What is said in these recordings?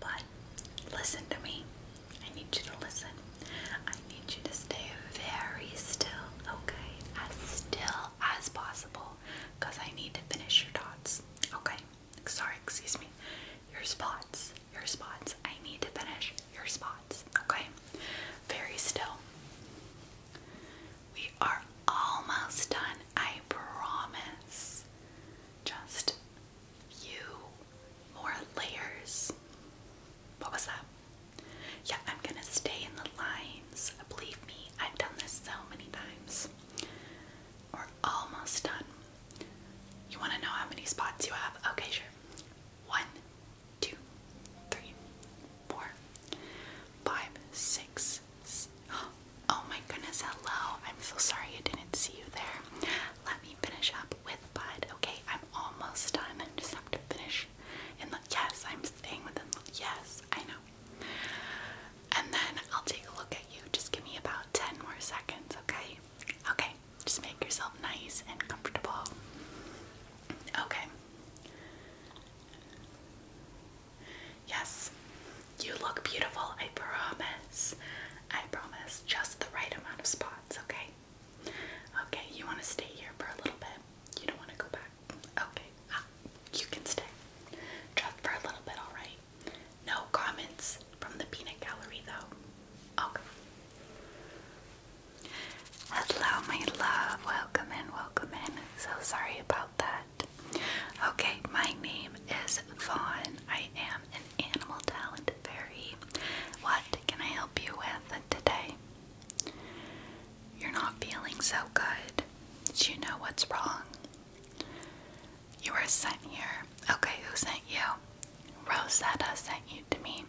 But listen to me. I need you to listen. I need you to stay very still, okay? As still as possible because I need to finish your dots, okay? Sorry, excuse me. Your spots, your spots. I need to finish your spots, okay? Very still. We are almost done, I promise. Just you more layers. What was that? Yeah, I'm gonna stay in the lines. Believe me, I've done this so many times. We're almost done. You wanna know how many spots you have? Okay, sure. One, two, three, four, five, six. Oh my goodness, hello. I'm so sorry I didn't see you there. Let me finish up with Bud. Okay, I'm almost done. I just have to finish. In the, yes, I'm staying with The, yes, I know. And then I'll take a look at you. Just give me about ten more seconds. Okay. Okay. Just make yourself nice and comfortable. Okay. Yes, you look beautiful, I promise. I promise just the right amount of spots, okay? Okay, you want to stay here for a little bit. You don't want to go back. Okay, ah, you can stay. Just for a little bit, alright? No comments from the peanut gallery, though. Okay. Hello, my love. Welcome in, welcome in. So sorry about that. Okay, my name is Vaughn. I am Animal Talent very. What can I help you with today? You're not feeling so good. Do you know what's wrong? You were sent here. Okay, who sent you? Rosetta sent you to me.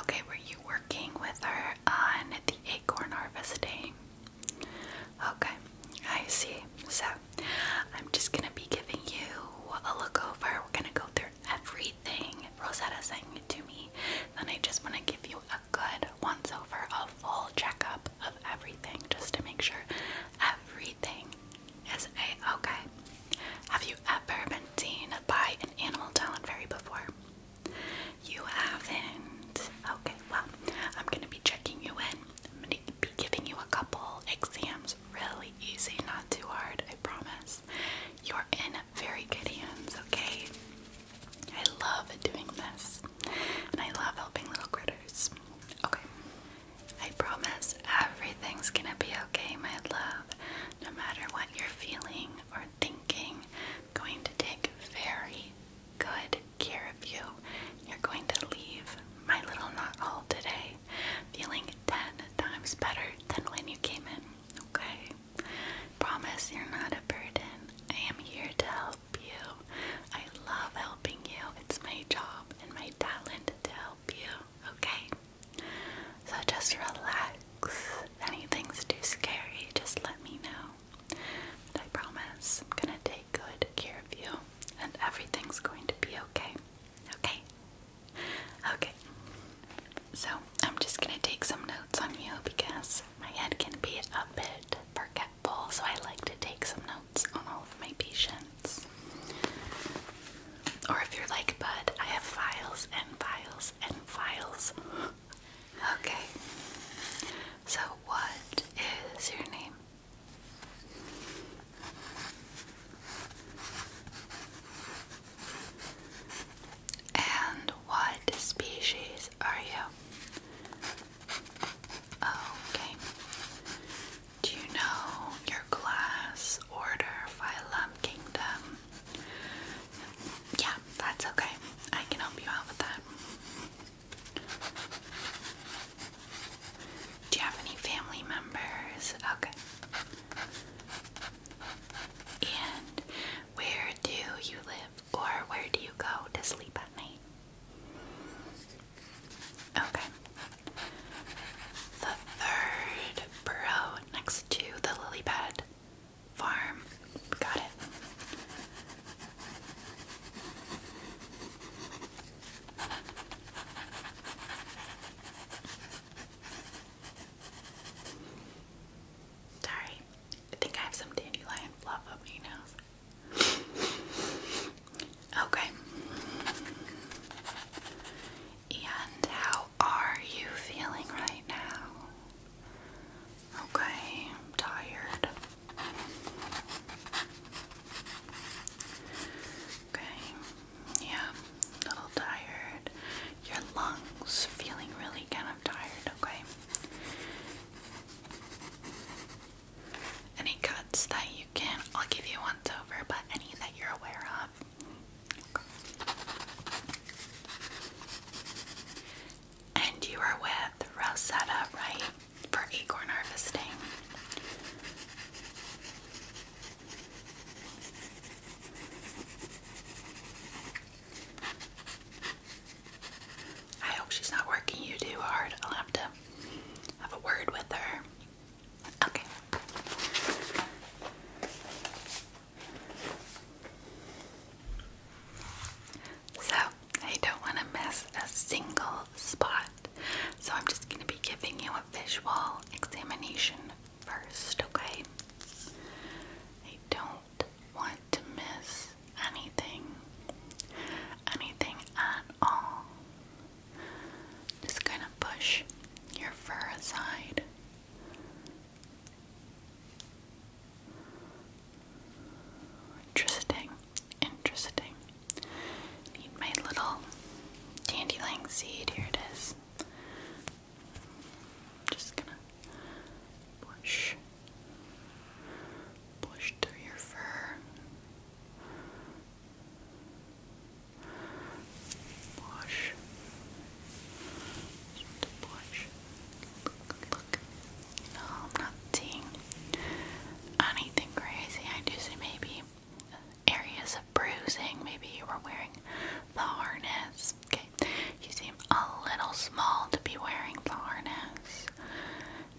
Okay, were you working with her on the acorn harvesting? Okay, I see. So, I'm just gonna be giving you a look over. We're gonna go through everything Rosetta sang to me. Then I just wanna give you a good once over, a full checkup of everything just to make sure everything is a okay. Have you ever been seen by an animal talent fairy before? You haven't. Okay, well, I'm gonna be checking you in. I'm gonna be giving you a couple exams really easy, not too hard, I promise. You're in very good hands, okay? I love doing this, and I love helping little critters. Okay, I promise everything's gonna be okay, my love. No matter what you're feeling or thinking, going to take very good care of you. You're going to leave my little knot hole today, today, feeling 10 times better than when you came in, okay? Promise you're not a burden. I am here to help you. I love helping you. It's my job and my talent to help you, okay? So just relax. If anything's too scary, just let me know. But I promise I'm gonna take good care of you and everything's going to be okay. Okay? Okay, so I'm just gonna take some notes on you because my head can be a bit forgetful, so I like to take some notes on all of my patients. Or if you're like, Bud, I have files and files and files. okay, so what is your name? And what species are you? Okay. Do you know your class, order, phylum, kingdom? Yeah, that's okay. I can help you out with that. Do you have any family members? Okay. And where do you live or where do you go to sleep at night? Okay. The third burrow next to the lily pad farm. Got it. Sorry, I think I have some dandelion fluff up my nose. okay. And how are you feeling right now? Okay, tired. Okay. Yeah, little tired. Your lungs feeling really kind of tired, okay? Any cuts that you can, I'll give you once over, but any that you're aware of. Okay. And you are with Rosetta, right? For acorn harvesting. I hope she's not working you too hard. I'll have to have a word with her. Okay. So, I don't want to miss a single spot. So, I'm just going to be giving you a visual examination first, okay? I don't want to miss anything, anything at all. Just kind of push your fur aside. Interesting, interesting. Need my little dandelion seed. Here it is. Just gonna push, push through your fur, push, push. Look, look. No, i anything crazy. I do say maybe areas of bruising. Maybe you were wearing the harness. Okay, you seem a little small to be wearing the harness.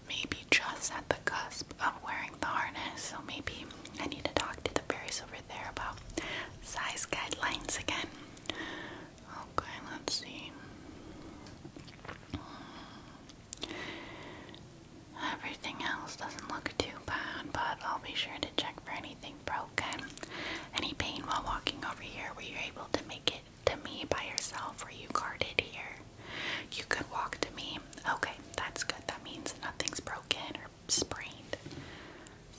Maybe just at the cusp of wearing the harness. So maybe I need to talk to the fairies over there about size guidelines again. Okay, let's see. Hmm. Everything else doesn't look too bad, but I'll be sure to check for anything broken. Any pain while walking over here? Were you able to make it to me by yourself? Were you guarded here? You could walk to me. Okay, that's good. That means nothing's broken or sprained.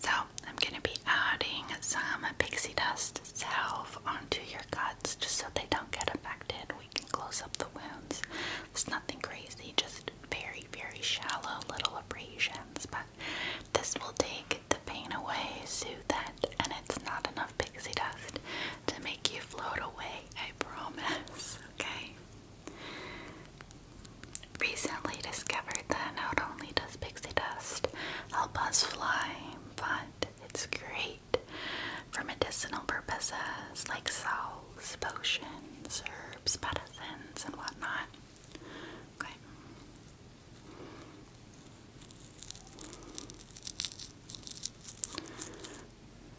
So, I'm going to be adding some pixie dust salve onto your cuts just so they don't get infected. We can close up the wounds. It's nothing crazy, just very, very shallow little abrasions, but this will take the pain away, soothe it, and it's not enough pixie dust to make you float away, I promise, okay? Recently discovered that not only does pixie dust help us fly, but it's great for medicinal purposes like salves, potions, herbs, medicines, and whatnot. Okay.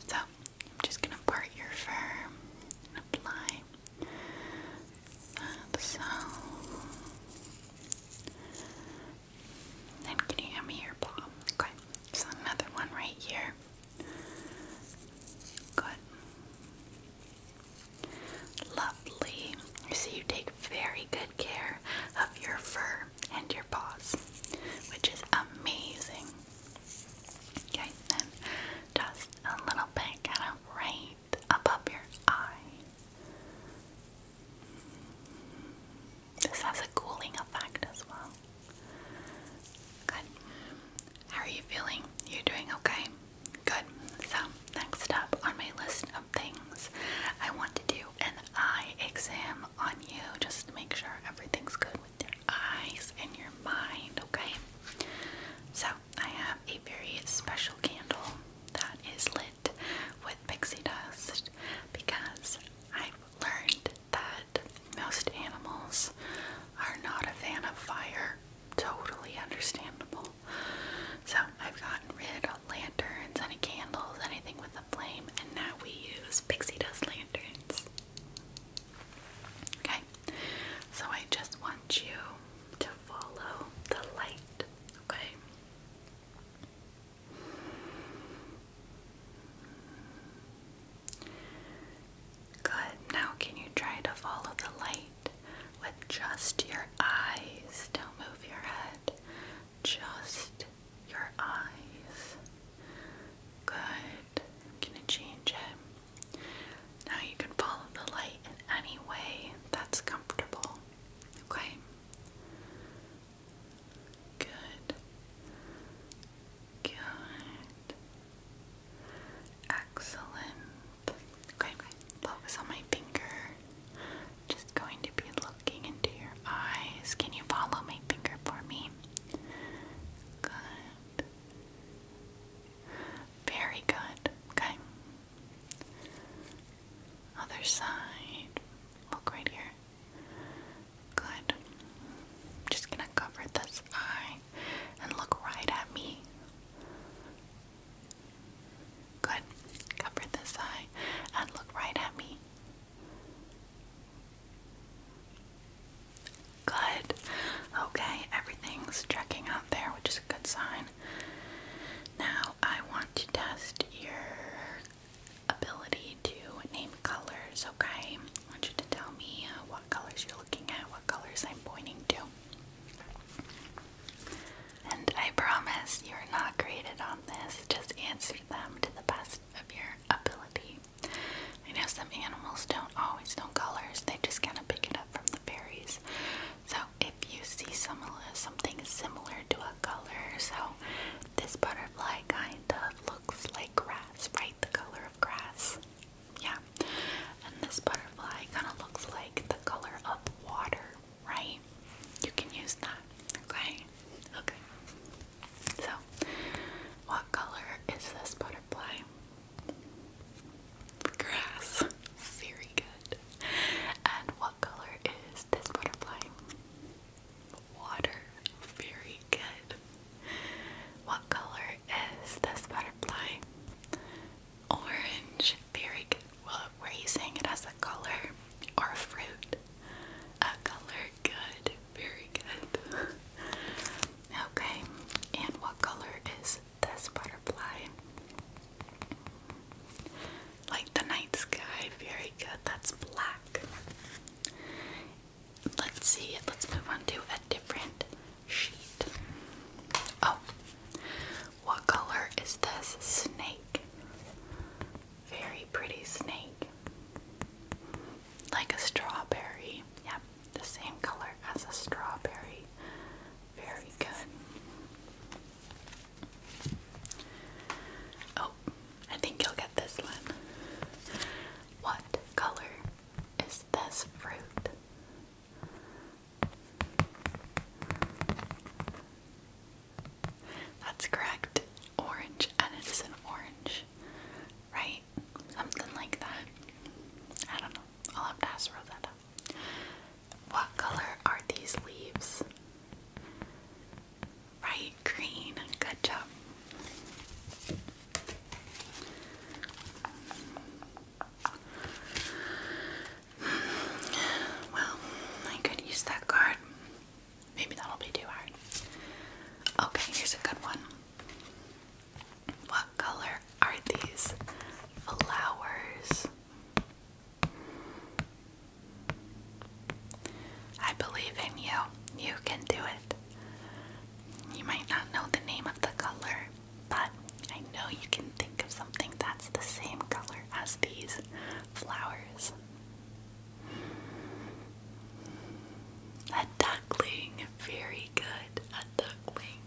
So, I'm just going to part your fur and uh, So, then can you hand me your paw? Okay. So, another one right here. Good. Lovely. So you take very good care of your fur and your paws, which is amazing. Okay, then just a little bit kind of right above your eye. This has a cooling effect as well. Good. How are you feeling? You're doing okay? Good. So, next up on my list of things, I want to do an eye exam on you just to make sure everything's good with your eyes and your mind, okay? So, I have a very special candle that is lit with pixie dust because I've learned that most animals are not a fan of fire totally understandable. So I've gotten rid of lanterns, any candles, anything with a flame, and now we use pixie dust lanterns. Okay, so I just want you to follow the light, okay? Good, now can you try to follow the light? with just your eyes. Don't move your head. Just your eyes. Good. I'm change it. Now you can follow the light in any way that's comfortable. Okay? Good. Good. Excellent. Okay, focus on my finger. Just going to be looking into your eyes. Can you follow my finger for me? Good. Very good. Okay. Other side. Look right here. Good. Just gonna cover this eye and look right at me. Good. Cover this eye and look right at me. Good. Okay, everything's checking out there, which is a good sign. Now I want to test your ability to name colors, okay? I want you to tell me uh, what colors you're looking at, what colors I'm pointing to. And I promise you are not graded on this, just answer them to the best of your ability. I know some animals don't always know colors, they just kind of pick it up from the berries. So if you see some, something similar to a color, so this butterfly kind of looks like grass, right? The color of grass. Yeah. And this butterfly kind of looks like the color of water, right? You can use that, okay? Okay. So, what color is this butterfly? Grass. Very good. And what color is this butterfly? Water. Very good. What color is this butterfly? Orange, very good. Well, were you saying it as a color or a fruit? A color, good, very good. okay, and what color is this butterfly? Like the night sky, very good. That's black. Let's see, let's move on to a different sheet. Oh, what color is this snake? Very pretty snake. Like a strawberry. Yep, the same color as a strawberry. Very good. Oh, I think you'll get this one. What color is this fruit? That's correct. Orange, and it is an orange, right? Something like that. I don't know. I'll have to ask Rosetta. What color are these leaves? Right, green. Good job. Well, I could use that card. Maybe that'll be too hard. Okay, here's a good one. What color are these flowers? I believe in you. You can do it. You might not know the name of the color, but I know you can think of something that's the same color as these flowers. A duckling, very good. A duckling.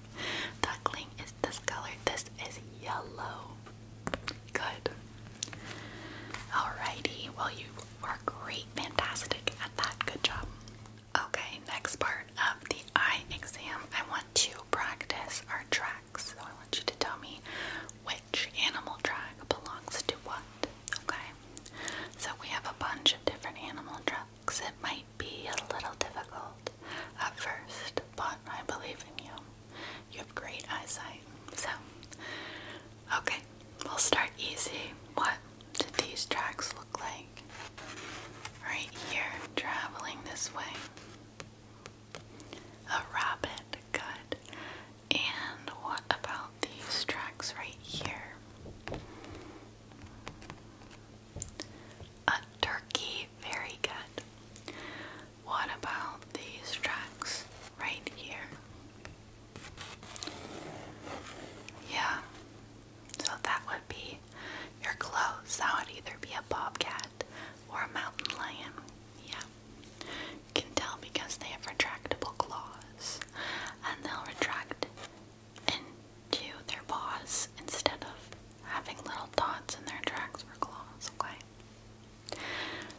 Duckling is this color. This is yellow. Good. Alrighty, well, you were great, fantastic at that. Good job. Okay, next part of the eye exam, I want to practice our tracks. So I want you to tell me which animal track belongs to what. Okay? So we have a bunch of different animal tracks. It might be a little difficult at first, but I believe in you. You have great eyesight. So, okay, we'll start easy. What do these tracks look like? Right here, traveling this way. A rabbit, good. And what about these tracks right here? A turkey, very good. What about these tracks right here? Yeah, so that would be your clothes. That would either be a bobcat or a mountain lion. Yeah. You can tell because they have retractable claws and they'll retract into their paws instead of having little dots in their tracks for claws, okay?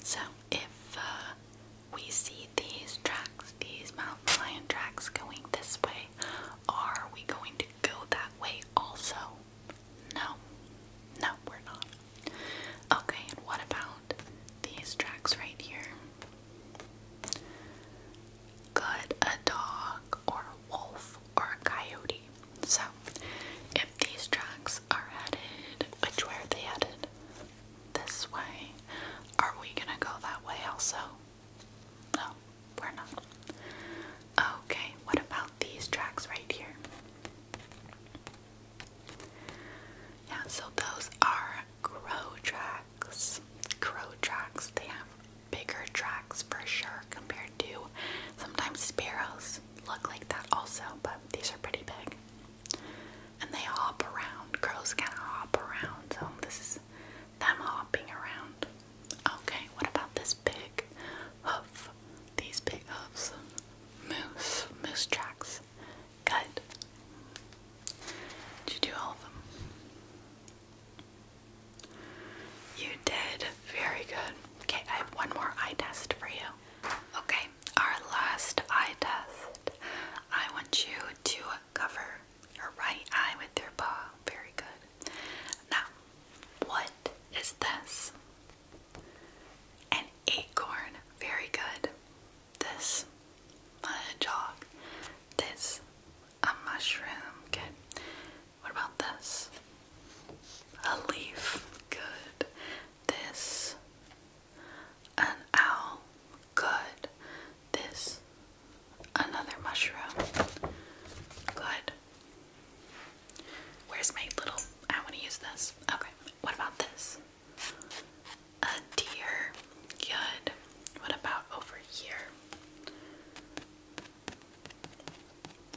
So if uh, we see these tracks, these mountain lion tracks going this way, are we going to go that way also? No. No, we're not. Okay, and what about these tracks right here? Could a dog or a wolf or a coyote? So, if these tracks are headed, which way are they headed? This way. Are we gonna go that way also? No, we're not. Okay, what about these tracks right here? Yeah, so those are crow tracks. Crow tracks, they have bigger tracks for sure compared to sometimes sparrows look like that also, but these are pretty big. And they hop around. Crows can hop around, so this is them hopping around. Okay, what about this big hoof? of these big hooves. Um, moose, moose tracks. Good. Did you do all of them? You did. Very good. Okay, I have one more eye test for you. Okay, our last eye test. I want you to cover your right eye with your paw. Very good. Now, what is this? An acorn, very good. This, a hedgehog. This, a mushroom, good. What about this? A leaf, good. This, an owl, good. This, another mushroom, good. Where's my little? I want to use this. Okay. What about this? A deer. Good. What about over here?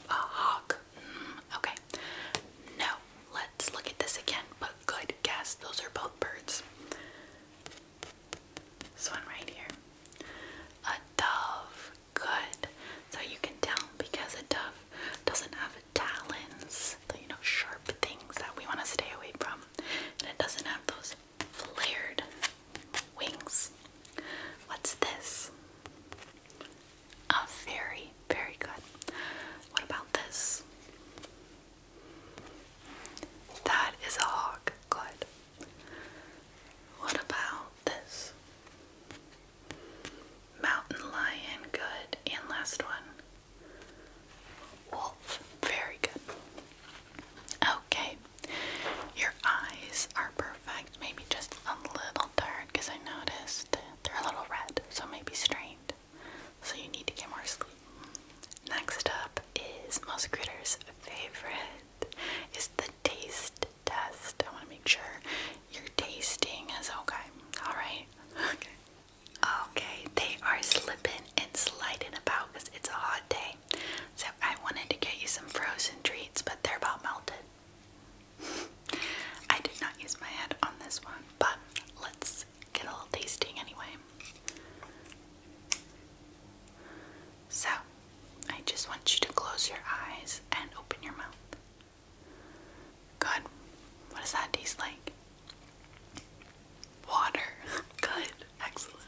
A hawk. Mm, okay. No. Let's look at this again. But good guess. Those are both birds. This one right here. A dove good. So you can tell because a dove doesn't have talons, the, you know, sharp things that we want to stay away from, and it doesn't have those flared wings. What's this? A fairy. Very good. What about this? That is a hawk. Good. What about this? Mountain lion, good. And last one. Wolf, very good. Okay, your eyes are perfect. Maybe just a little dark because I noticed they're a little red, so maybe strained. So you need to get more sleep. Next up is most favorite is the taste test. I want to make sure your tasting is okay. Alright? Okay. Okay, they are slipping and sliding about because it's a hot day. So I wanted to get you some frozen treats, but they're about melted. I did not use my head on this one, but let's get a little tasting anyway. So, I just want you to close your eyes and open your mouth. Good. What does that taste like? Water. Good. Excellent.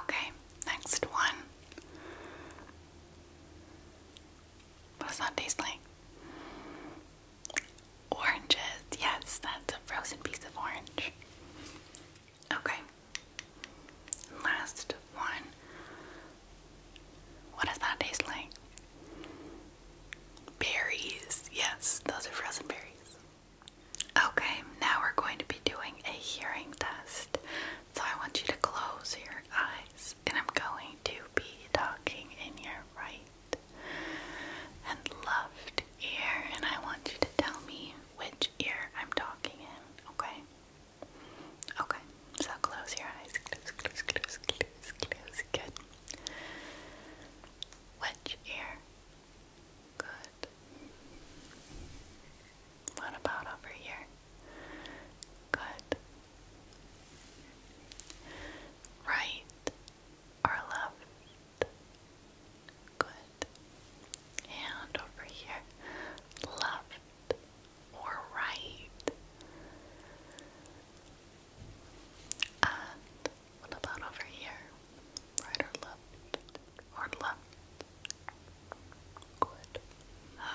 Okay, next one. What does that taste like? Oranges. Yes, that's a frozen piece of orange. Okay. Last one. What does that taste like? Berries. Yes, those are frozen berries. Okay, now we're going to be doing a hearing test. So I want you to close your eyes and I'm going to be talking in your right and left ear and I want you to tell me which ear I'm talking in, okay? Okay, so close your eyes. Close, close, close, close, close. Good. Which ear? Good. What about over here? Good. Right or left? Good. And over here. Left or right? And what about over here? Right or left? Or left? Good.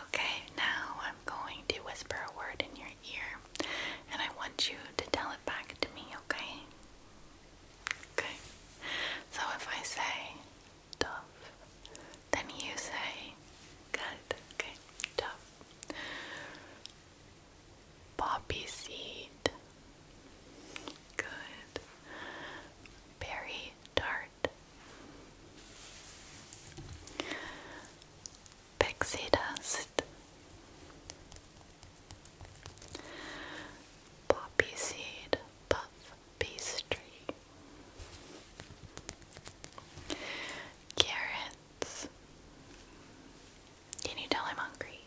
Okay, now I'm going to whisper a word in your ear, and I want you to tell it back to me, okay? Okay. So if I say tough, then you say good. Okay, tough. Poppy seed. Good. Berry tart. Pixie dust. Poppy seed puff pastry. Carrot can you tell I'm hungry?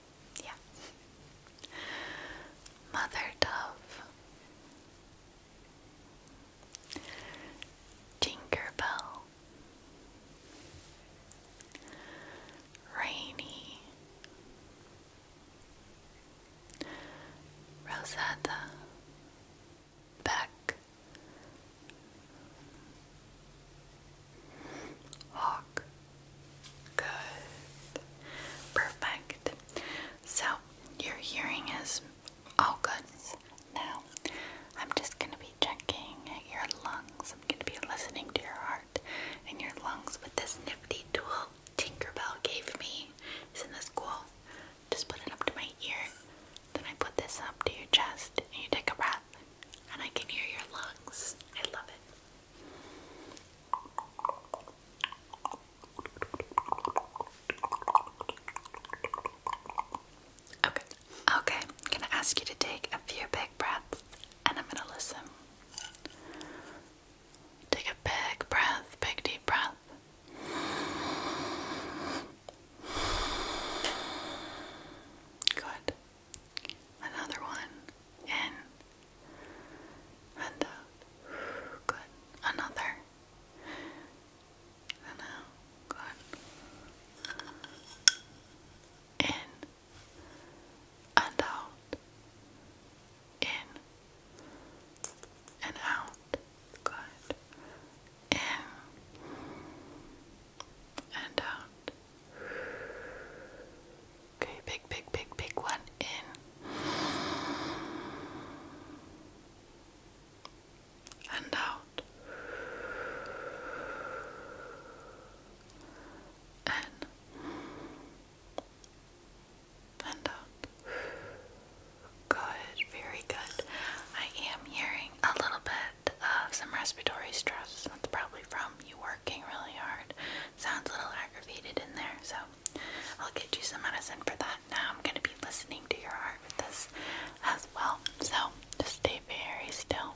Yeah. Mother Dove. Tinkerbell. Rainy. Rosetta back, hawk. Good, perfect. So your hearing is all good now. I'm just gonna be checking your lungs. I'm gonna be listening to your heart and your lungs with this nifty tool Tinkerbell gave me. Isn't this cool? Just put it up to my ear then I put this up to your chest and you take a breath, and I can hear your lungs. I love it. Okay. Okay. I'm going to ask you to take a few big breaths and I'm going to listen. Take a big breath, big deep breath. Good. Another one in and out. Uh, good. Another. And out. Good. In and out. In and out. Good in and out. Okay, big, big, big, big one in and out and and out. Good, very good. I am hearing a little bit uh, some respiratory stress. That's probably from you working really hard. Sounds a little aggravated in there, so I'll get you some medicine for that. Now I'm going to be listening to your heart with this as well, so just stay very still.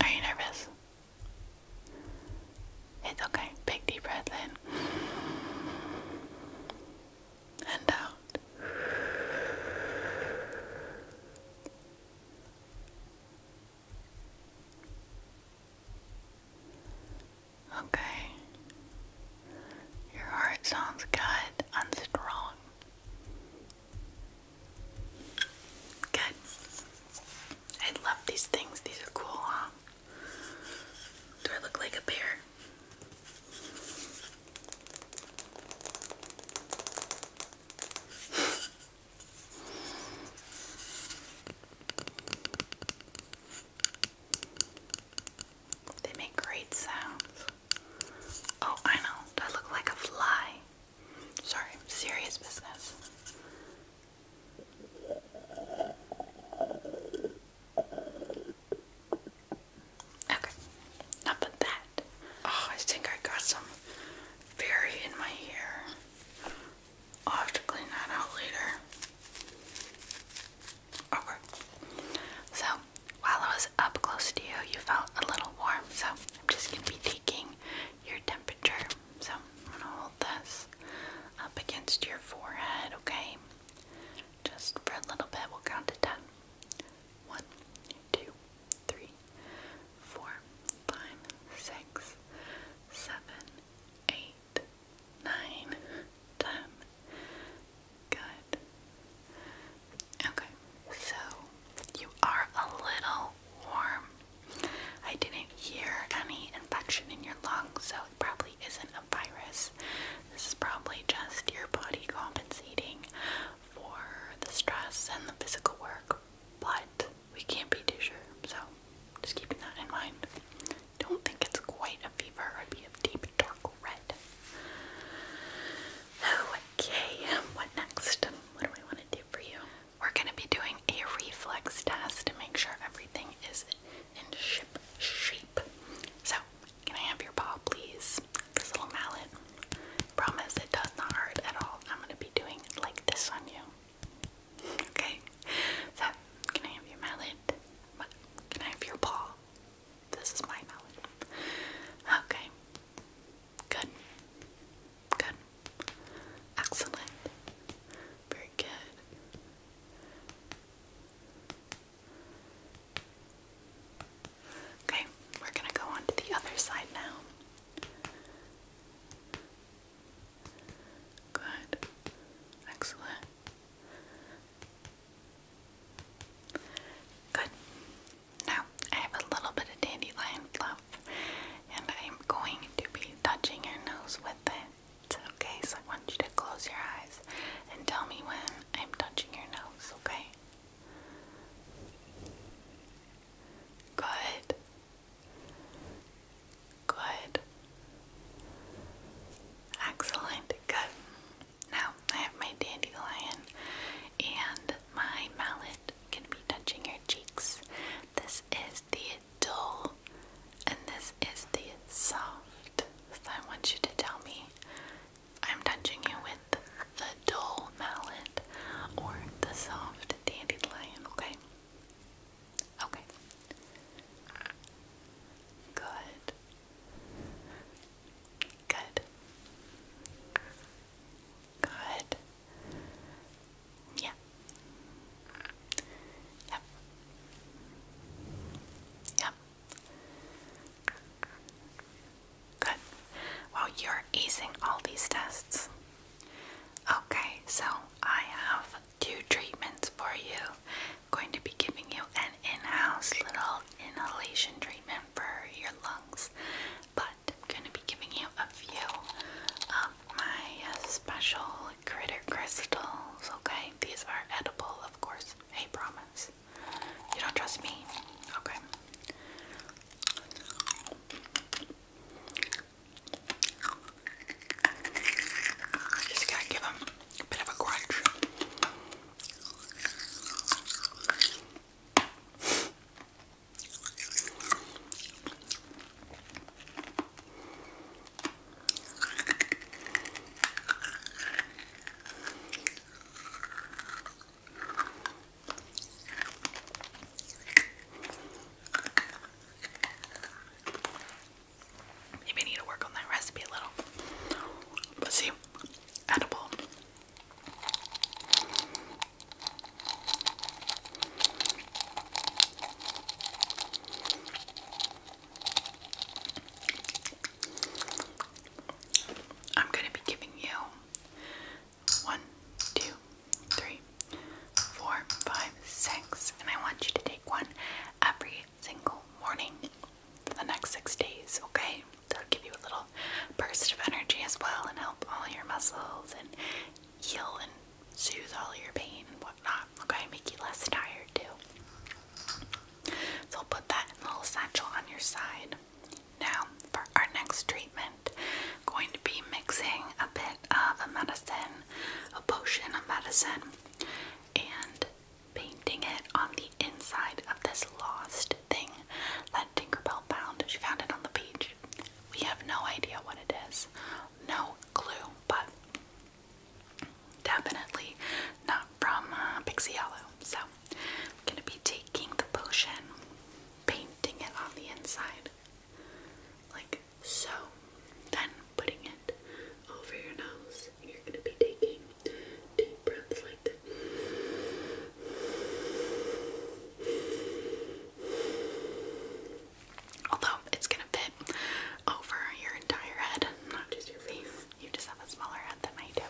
Are you nervous? It's okay. Big deep breath in and out. Okay. Your heart sounds good and strong. Good. I love these things. These are cool, huh? Do I look like a bear? they make great sounds. Oh, I know. Do I look like a fly? Sorry, serious business. Okay, not but that. Oh, I think I got some berry in my hair. I'll have to clean that out later. Okay, so while I was up close to you, you felt a little warm. So I'm just going to be taking your temperature. So I'm going to hold this up against your forehead, okay? Just for a little bit. We'll count to ten. One, two, three, four, five, six, seven, eight, nine, ten. Good. Okay, so you are a little warm. I didn't hear any infection in your lungs, so it probably isn't a virus. This is probably just your body compensating for the stress and the physical work, but we can't be too sure, so just keeping that in mind. Don't think it's quite a fever, it'd be a deep dark red. Oh, Okay, um, what next? What do we want to do for you? We're going to be doing a reflex test to make sure everything is in ship shape. So, can I have your paw, please? This little mallet. Promise it does not hurt at all. I'm going to be doing like this on you. Okay? So, can I have your mallet? Can I have your paw? This is my melon. Okay. Good. Good. Excellent. Very good. Okay, we're going to go on to the other side now. Good. Excellent. Good. Now, I have a little bit of dandelion fluff, and I am going to be touching your nose with it. Okay, so I want you to close your eyes and tell me when I'm touching your nose, okay? Good. Good. Excellent. Good. Now I have my dandelion and my mallet can be touching your cheeks. This is the dull and this is the soft. I want you to tell me I'm touching you with the dull mallet or the soft dandelion, okay? Okay. Good. Good. Good. Yeah. Yep. Yep. Good. Well, you're acing all these tests. Okay, so I have two treatments for you. going to be giving you an in-house little inhalation treatment for your lungs, but I'm going to be giving you a few of my uh, special critter crystals, okay? These are edible, of course. I promise. You don't trust me? Okay. Just gotta give them a bit of a crunch. Maybe I need to work on that recipe a little. But see, edible. I'm going to be giving you one, two, three, four, five, six, and I want you to take one every single morning for the next six days, okay? that'll give you a little burst of energy as well and help all your muscles and heal and soothe all your pain and whatnot. Okay, make you less tired too. So I'll put that little satchel on your side. Now for our next treatment, going to be mixing a bit of a medicine, a potion of medicine, and painting it on the inside of this lost thing that Tinkerbell found. She found it on the beach. We have no idea what it is. No clue, but definitely not from uh, Pixie Yellow. So I'm gonna be taking the potion, painting it on the inside, like so, then putting it over your nose. You're gonna be taking deep breaths like this. Although it's gonna fit over your entire head, not just your face. You just have a smaller head than I do.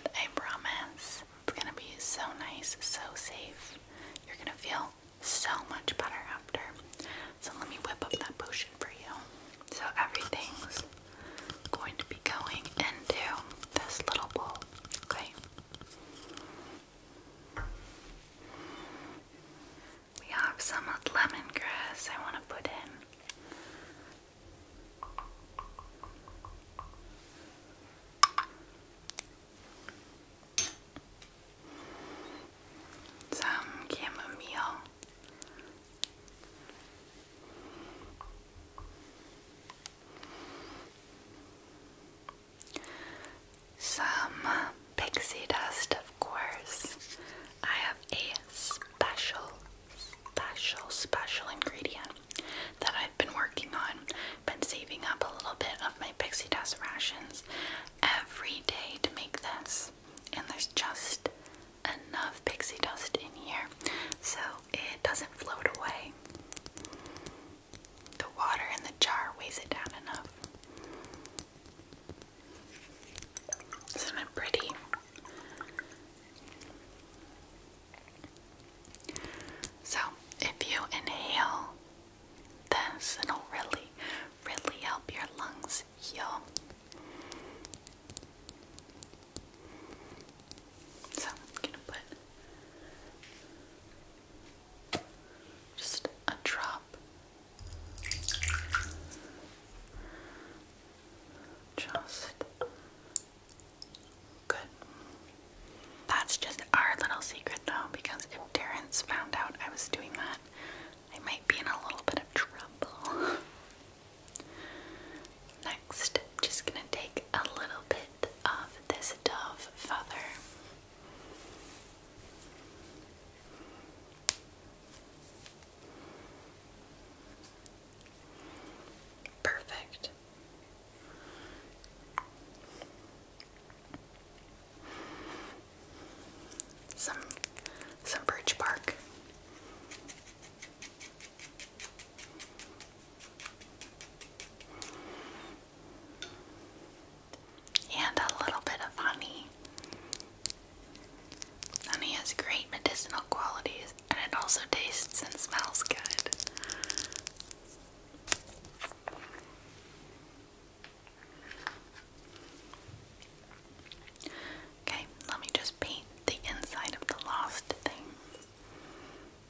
And I promise it's gonna be so nice, so safe. You're gonna feel so much better after. So let me whip up that potion for you. So everything's going to be going into this little bowl. Okay. We have some lemongrass I want to put in. Some chamomile. Some pixie dust, of course. I have a special, special, special ingredient that I've been working on. Been saving up a little bit of my pixie dust rations every day to make this, and there's just enough pixie dust in here so it doesn't float away. The water in the jar weighs it down enough. Isn't it pretty? So, if you inhale this, it'll really, really help your lungs heal. So I'm gonna put just a drop. Just good. That's just our little secret though, because if Terrence found out I was doing that, I might be in a little bit of trouble. just going to take a little bit of this dove feather. Perfect. Some some birch bark and a little bit of honey. Honey has great medicinal qualities and it also tastes and smells good. Okay, let me just paint the inside of the lost thing.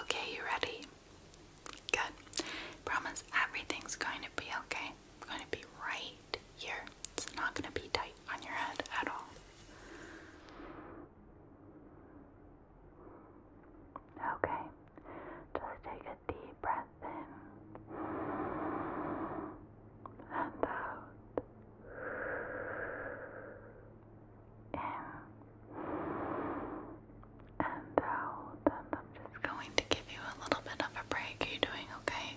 Okay, you ready? Good. Promise everything's going to be okay. going to be right here. It's not going to be tight on your head at all. Okay, just take a deep breath in and out in and out. Um, and I'm just going to give you a little bit of a break. you doing okay?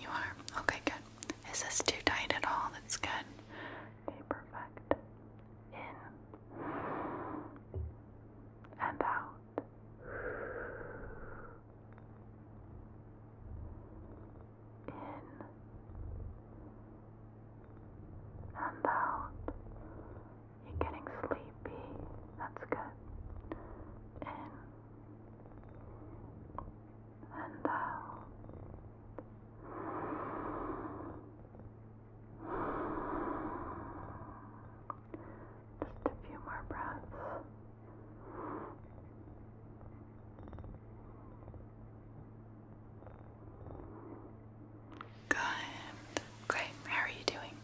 You are? Okay, good. Is this too tight at all? That's good. perfect. In and out in and out. You're getting sleepy. That's good. In and out. Just a few more breaths. Good. Great. How are you doing?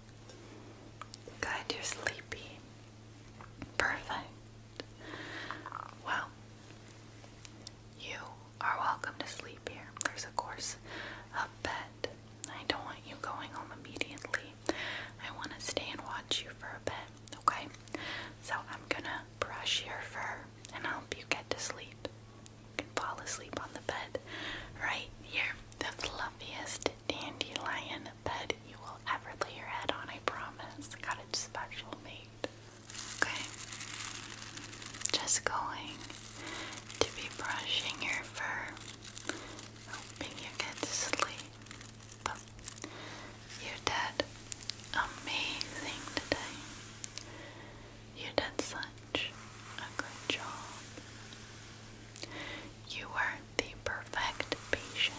Good. You're sleepy. Perfect. Well, you are welcome to sleep here. There's, of course, a bed. I don't want you going home immediately. I want to stay and watch you for a bit, okay? So I'm gonna brush your fur and help you get to sleep. You can fall asleep on the bed right here. The fluffiest dandelion bed you will ever lay your head on, I promise. Got it special made. Okay. Just going to be brushing your fur. Hoping you get to sleep. But you did amazing today. You did such a good job. You are the perfect patient,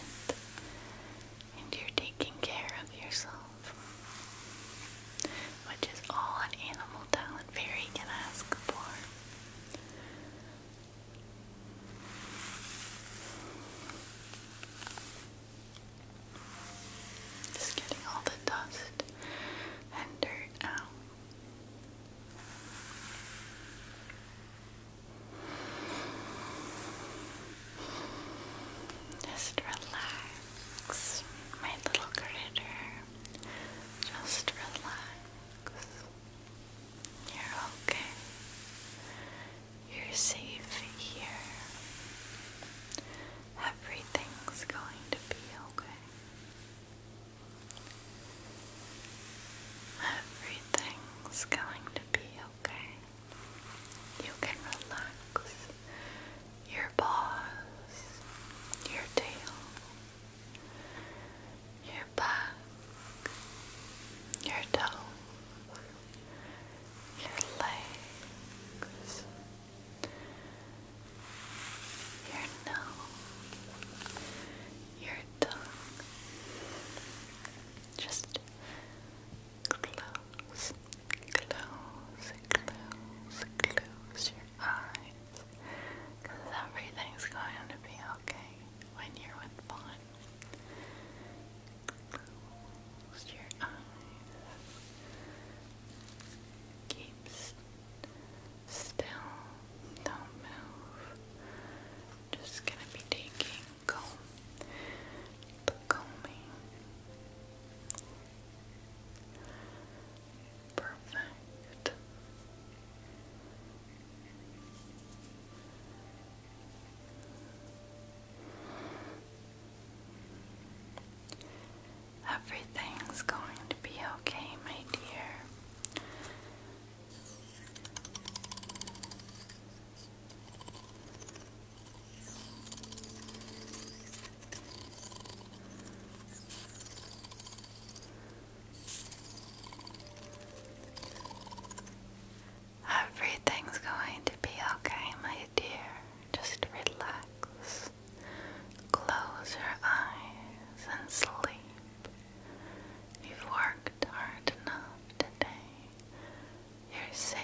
and you're taking care of yourself, which is all an animal talent fairy can ask for. Just getting all the dust and dirt out. Just relax, my little critter. Just relax. You're okay. You're safe here. Everything's going to be okay. Everything's going to be okay. You can relax your paws, your tail, your back, your toes, your legs your nose, your tongue. Just close, close, close, close your eyes. Because everything's going to be okay when you're with Vaughn close your eyes. Keep still, don't move. Just gonna be taking comb, the combing. Perfect. Everything's going to be okay, my dear. Everything's going to be okay, my dear. Just relax. Close your eyes and sleep. You've worked hard enough today. You're safe.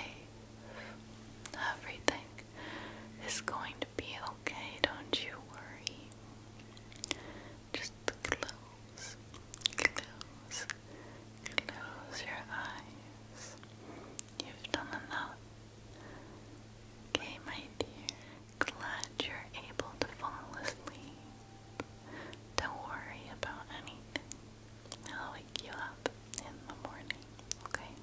Everything is going to be okay, don't you worry. Just close, close, close your eyes. You've done enough. Okay, my dear, glad you're able to fall asleep. Don't worry about anything. I'll wake you up in the morning, okay?